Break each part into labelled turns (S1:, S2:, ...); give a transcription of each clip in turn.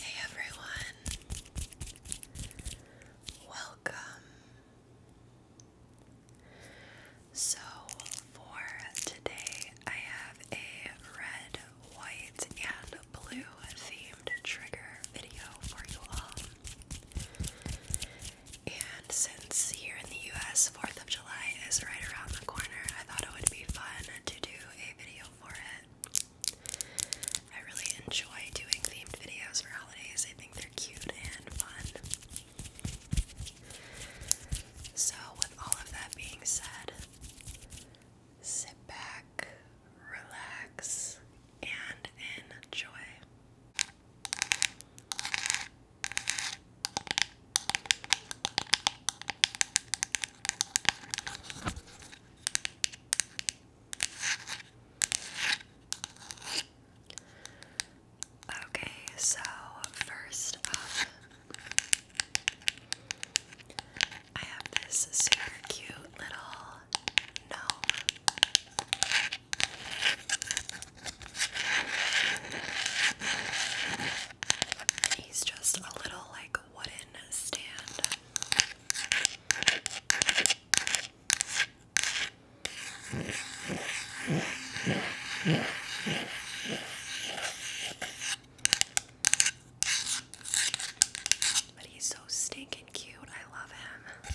S1: Hey everyone, welcome. So, for today, I have a red, white, and blue themed trigger video for you all. And since here in the US, 4th of July is right around the corner, I thought it would be fun to do a video for it. I really enjoy doing themed videos for holidays. I think they're cute and fun. So, with all of that being said, sit back, relax, and enjoy. Okay, so first up, I have this super cute little gnome. He's just a little like wooden stand. But he's so stinking cute. I love him.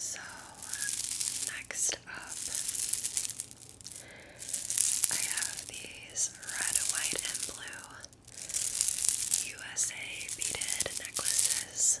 S1: So, next up, I have these red, white, and blue USA beaded necklaces.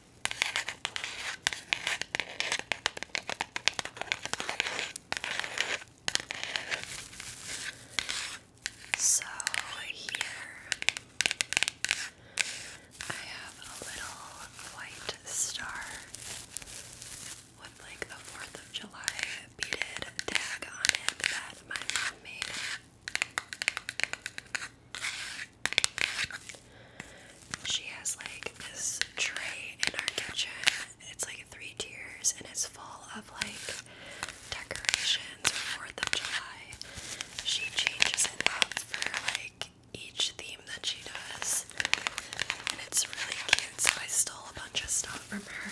S1: So here I have a little white star with like a 4th of July beaded tag on it that my mom made. She has like this tray in our kitchen. It's like three tiers and it's full of like decorations for 4th of July. She changes it out for like each theme that she does. And it's really cute, so I stole a bunch of stuff from her.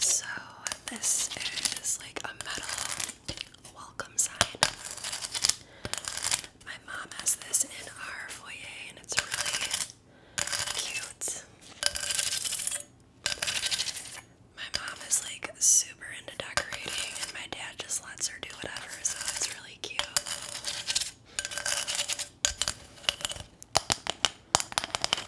S1: So this is like a metal welcome sign. My mom has this in our foyer and it's really cute. My mom is like super into decorating and my dad just lets her do whatever, so it's really cute.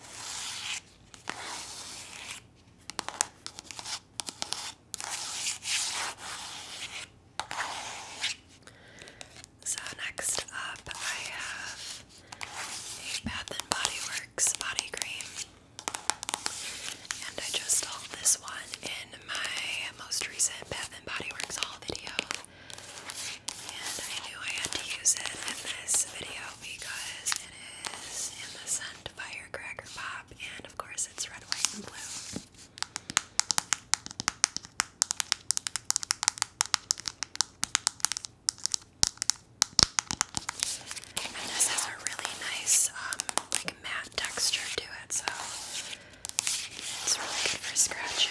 S1: So next up I have a Bath and Body Works body cream. And I just hauled this one in my most recent Bath and Body Works haul video. And I knew I had to use it in this video because it is in the scent Cracker Pop, and of course it's red, white, and blue. this has a really nice, um, like matte texture to it, so it's really good for scratching.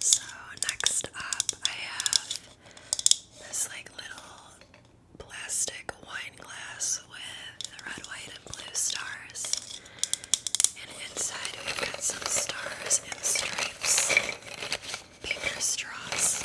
S1: So next up I have this like little plastic wine glass with red, white, and blue stars. And inside we've got some stars and stripes, paper straws.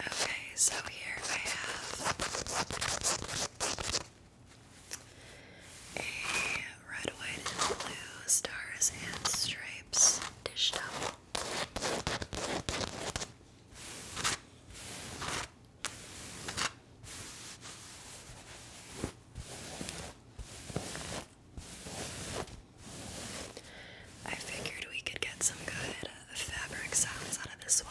S1: Okay, so here I have a red, white, and blue stars and stripes dish towel. I figured we could get some good fabric sounds out of this one.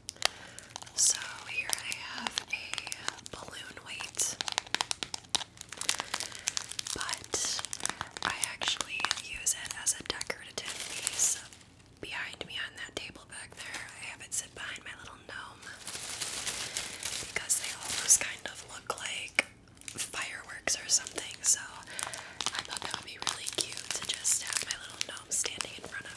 S1: So here I have a balloon weight, but I actually use it as a decorative piece behind me on that table back there. I have it sit behind my little gnome because they almost kind of look like fireworks or something. So I thought that would be really cute to just have my little gnome now I'm standing in front of it.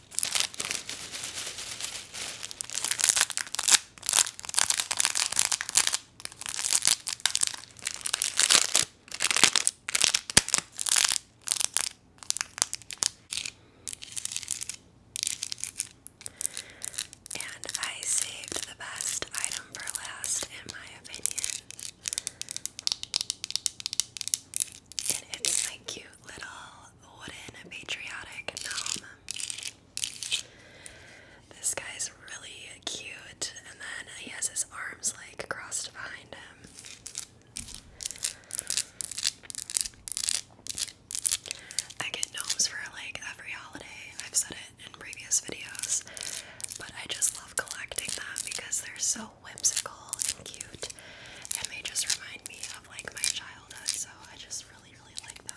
S1: And I saved the best item for last, in my opinion and it's my cute little wooden patriotic gnome. This guy's really cute, and then he has his arms like crossed behind him. I get gnomes for like every holiday. I've said it in previous videos, but I just love collecting them because they're so whimsical and cute, and they just remind me of like my childhood, so I just really, really like them.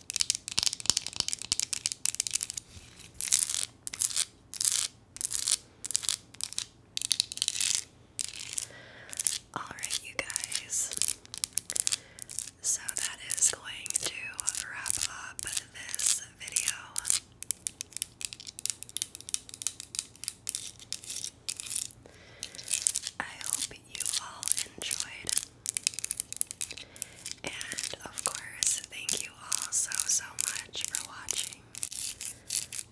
S1: Alright, you guys. So that is going to wrap up this video. I hope you all enjoyed and of course, thank you all so, so much for watching.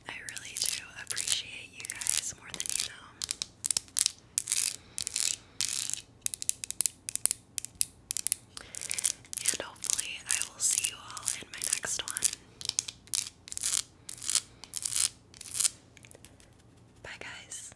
S1: I really do appreciate you guys more than you know. And hopefully, I will see you all in my next one. Bye, guys.